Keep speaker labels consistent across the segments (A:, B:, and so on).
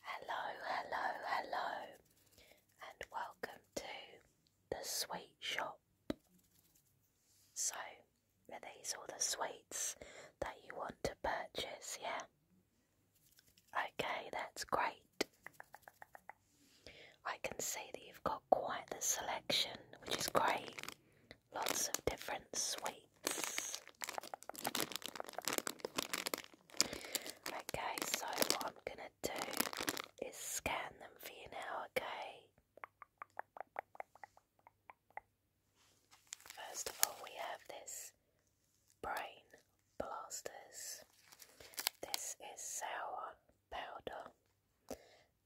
A: Hello, hello, hello, and welcome to the sweet shop. So, are these all the sweets that you want to purchase? Yeah. Okay, that's great. I can see that you've got quite the selection, which is great lots of different sweets. Okay, so what I'm gonna do is scan them for you now, okay? First of all, we have this brain blasters. This is sour powder,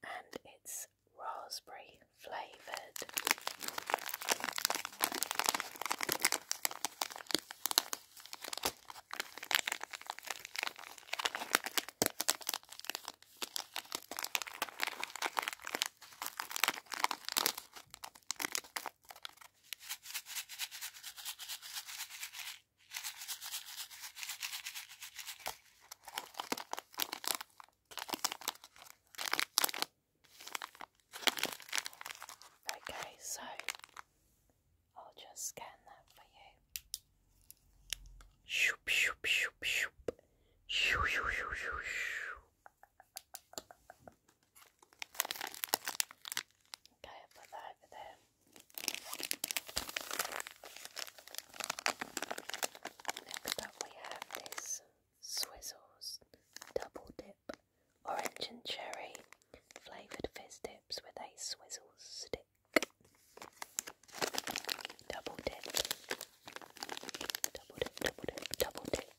A: and it's raspberry flavoured. Okay, so I'll just scan that for you.
B: Okay, i put that over there. Next up we have this Swizzles Double Dip Orange and Cherry Flavoured Fizz Dips with a Swizzle Stick. Double dip. Double dip, double dip, double dip.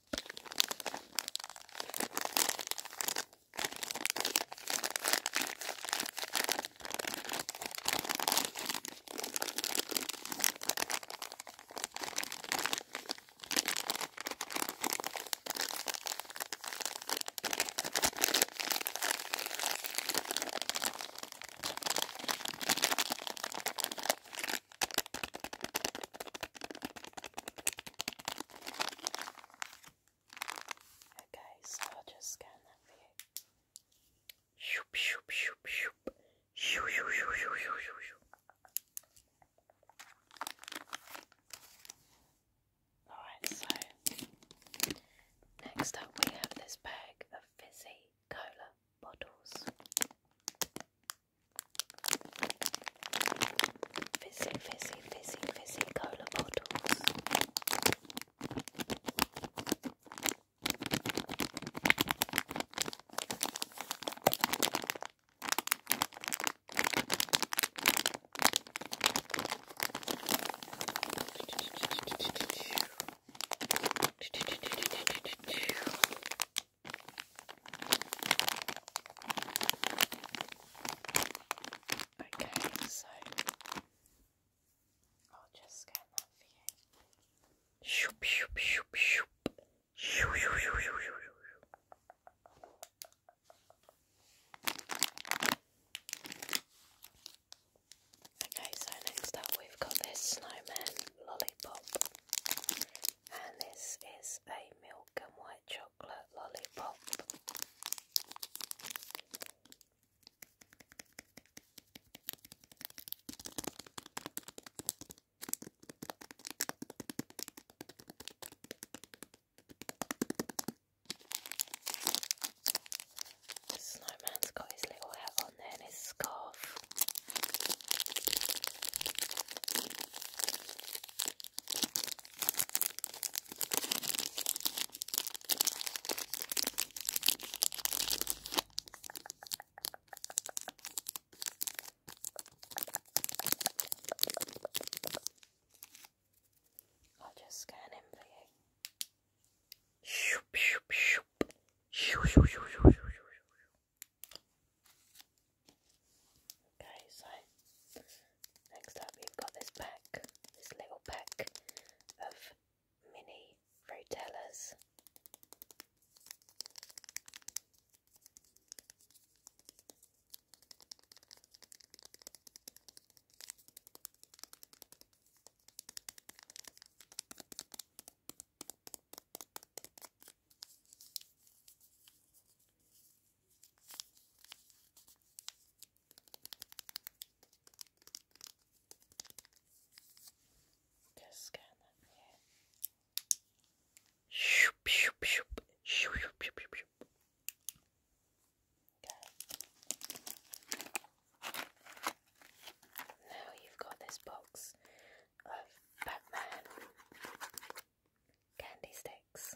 B: Okay, so I'll just scan that for you. Shoop, shoop, shoop, shoop. Shoo, shoo, shoo, shoo, shoo, shoo, shoo. Alright, so next up we have this bag of fizzy cola bottles. Fizzy, fizzy, fizzy, fizzy cola bottles. Okay, so I'll just scan that for you. Okay,
A: so next up we've got this snowman lollipop, and this is a milk and white chocolate lollipop. The snowman's got his little hat on there and his scarf. I'll just scan him for you. Shoop, shoop, shoop. Shoop, shoop, shoop, shoop, shoop. Okay, so next up we've got this pack, this little pack of mini rotellas. Shoop, shoop, shoop, shoop, shoop, shoop, shoop. Okay. Now you've got this box of Batman candy sticks.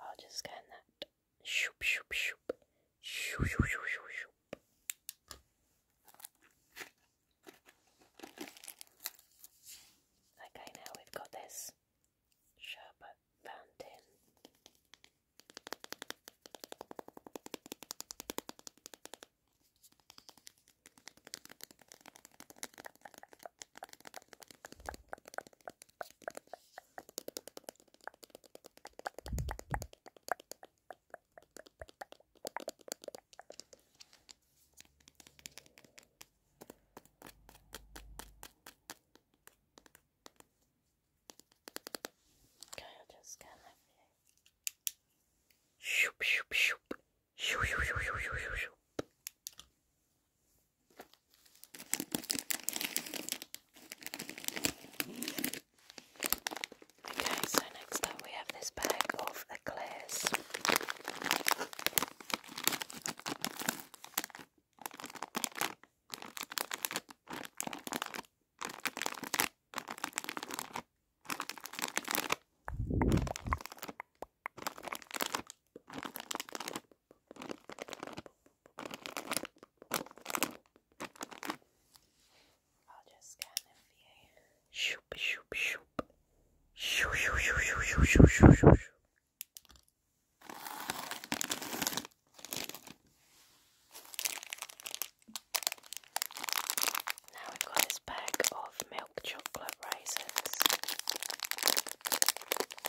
A: I'll just scan that.
B: Shoop, shoop, shoop. Shoop, shoop, shoop, shoop, shoop.
A: Okay, now we've got this sherbet fountain. Okay, I'll just scan everything. Shoop, shoop, shoop. Shoop, shoop, shoop, shoop, shoop, shoop.
B: Okay, so next up we have this bag of eclairs. I'll just scan them for you. Shoop, shoop, shoop. Shoop, shoop, shoop, shoop, shoop, shoop, shoop. Now we've got this bag of milk chocolate raisins.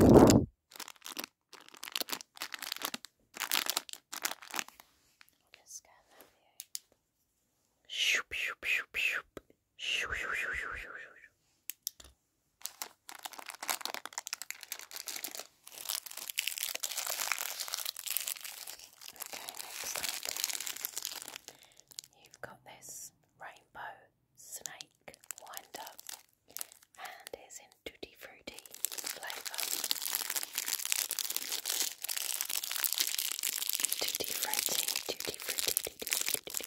B: I'll just scan that here. Shoop, shoop, shoop, shoop. Shoo, shoo, shoo, shoo, shoo, shoo.
A: Okay, next up, you've got this rainbow snake wind up and is in tutti frutti flavour. Tutti frutti, tutti frutti, tutti tutti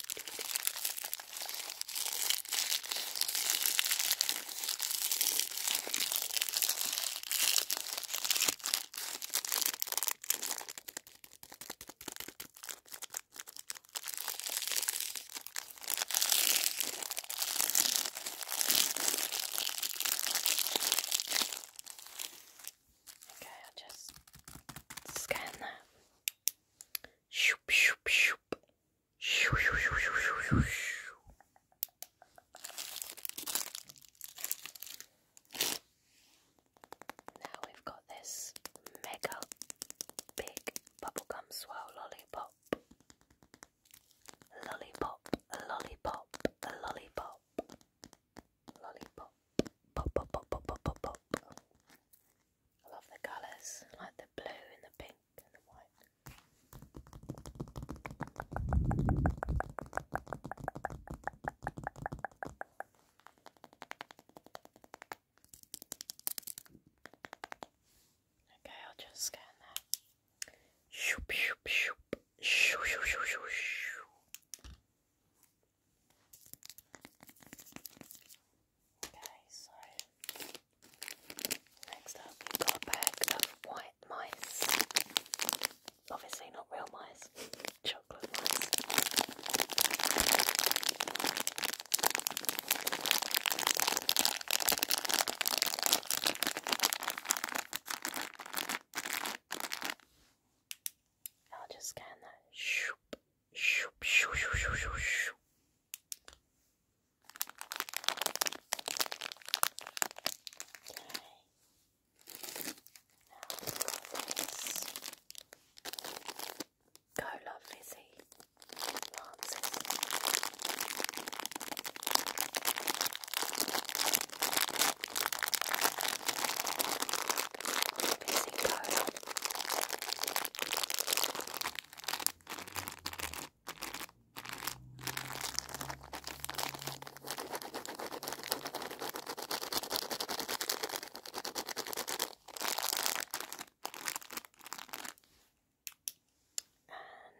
A: Okay, I'll just scan that. Shoop, shoop, shoop. Shoo, shoo, shoo, shoo, shoo, shoo. Now we've got this mega Big bubblegum swirl lollipop. Lollipop, lollipop, lollipop. Lollipop. Pop, pop, pop, pop, pop, pop, pop. I love the colours, like the blue and the pink and the white.
B: Okay, I'll just scan that. Shoop, shoop, shoop. Shoo, shoo, shoo, shoo, Okay, so next up got a bag of white mice. Obviously not real mice, chocolate mice. I'll just scan that. Shoop, shoop, shoop, shoop, shoop, shoop, shoop. Okay. Now, Cola Fizzy Lancers. Fizzy Cola.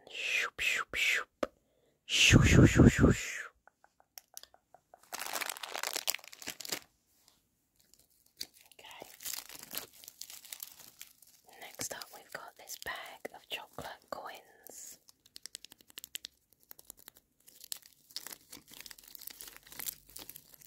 A: And shoop, shoop, shoop. Shoo, shoo, shoo, shoo, shoo. Okay. Next up, we've got this bag of chocolate coins.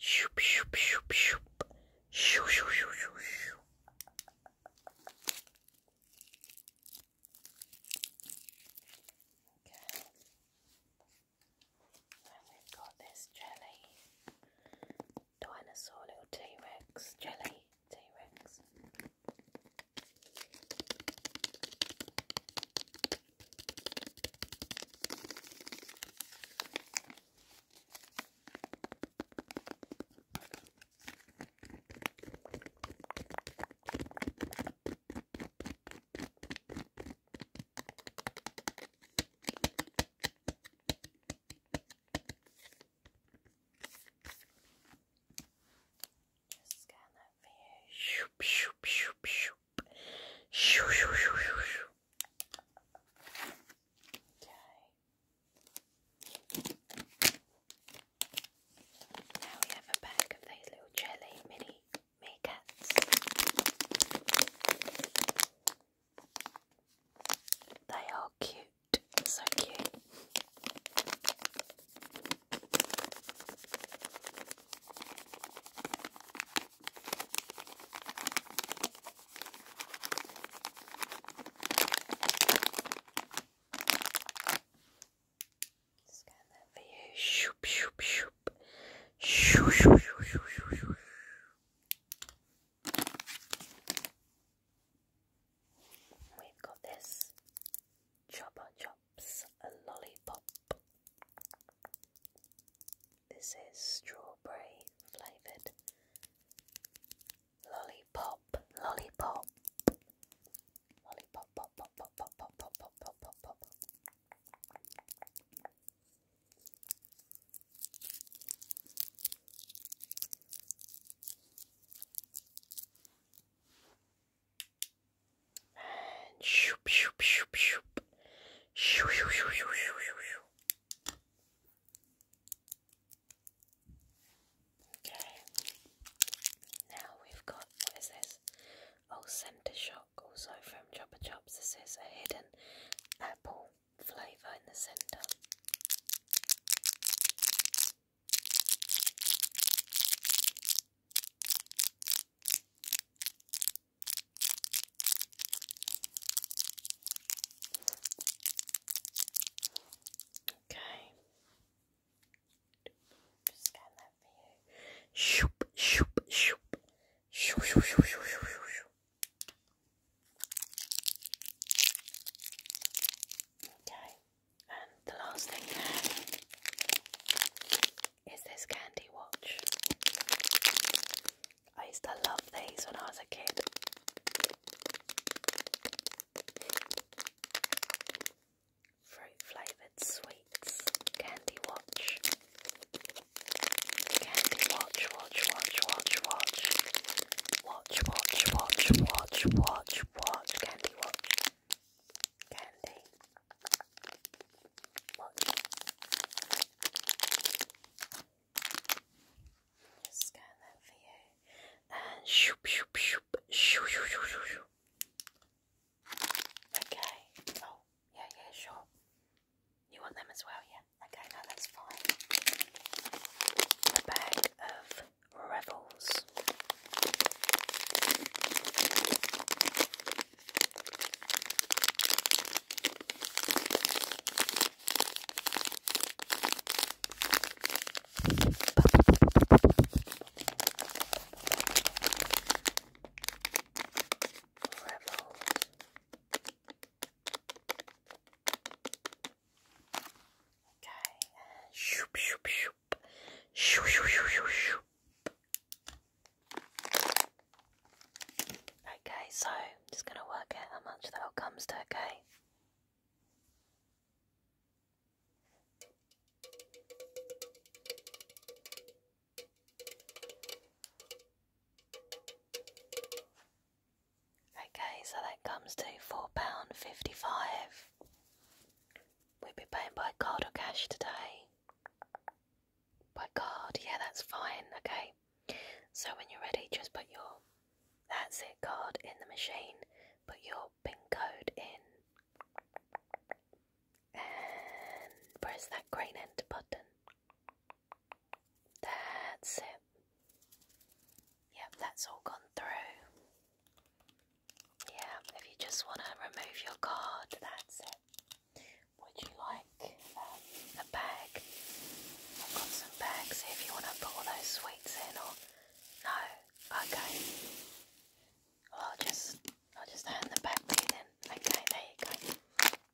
B: Shoop, shoop, shoop, shoop. Shoo, shoo, shoo, shoo, shoo. Okay.
A: And we've got this jelly. Dinosaur little T-Rex jelly. T-Rex. Just scan that for you. Shoop, shoop, shoop, shoop. Now we have a bag of those little jelly mini makeups. They are cute, so cute. Scan that for you. Shoop, shoop, shoop. Shoo, shoo, shoo, shoo, shoo, shoo. We've got this Chopper Chops a lollipop. This is strawberry flavoured lollipop, lollipop, lollipop, pop, pop, pop, pop, pop, pop, pop, pop, pop, and shoop, shoop, shoop, shoop. Shoo, shoo, shoo, shoo, shoo, shoo. Okay. Now we've got, what is this? Oh, Center Shock, also from Chopper Chops. This is a hidden apple flavour in the centre. Okay. Just scan that for you. Shoop, shoop, shoop. Shoop, shoop, shoop, shoop, shoop, Okay. And the last thing is this candy watch. I used to love these when I was a kid. Fruit flavoured sweets, candy watch.
B: Candy watch, watch, watch, watch, watch. Watch, watch, watch, watch, watch, watch,
A: candy watch. Candy.
B: Just scan that for you. Okay. Oh, yeah, yeah, sure. You want them as well, yeah? Okay, no, that's fine. A bag of Revels. Okay. Shoop, shoop, shoop. Shoop, shoop, shoop, shoop, shoop.
A: Okay, so just going to work out how much that all comes to, okay? Okay, so that comes to £4.55. We'll be paying by card or cash today. By God, yeah, that's fine, okay? So when you're ready, just put your that's it card in the machine, put your PIN code in, and press that green enter button. That's it. Yep, that's all gone through. Yeah, if you just want to remove your card, that's it. Would you like um, a bag? I've got some bags here if you want to put those sweets in or no? Okay. I'll just I'll just hand the bag to you then. Okay, there you go.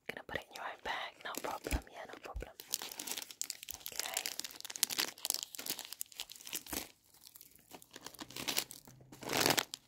A: gonna put it in your own bag, no problem, yeah, no problem. Okay.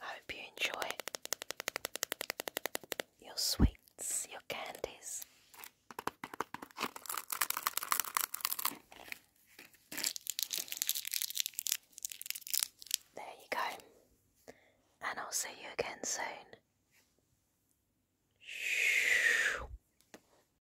A: I hope you enjoy your sweets, your candies. There you go. And I'll see you again soon.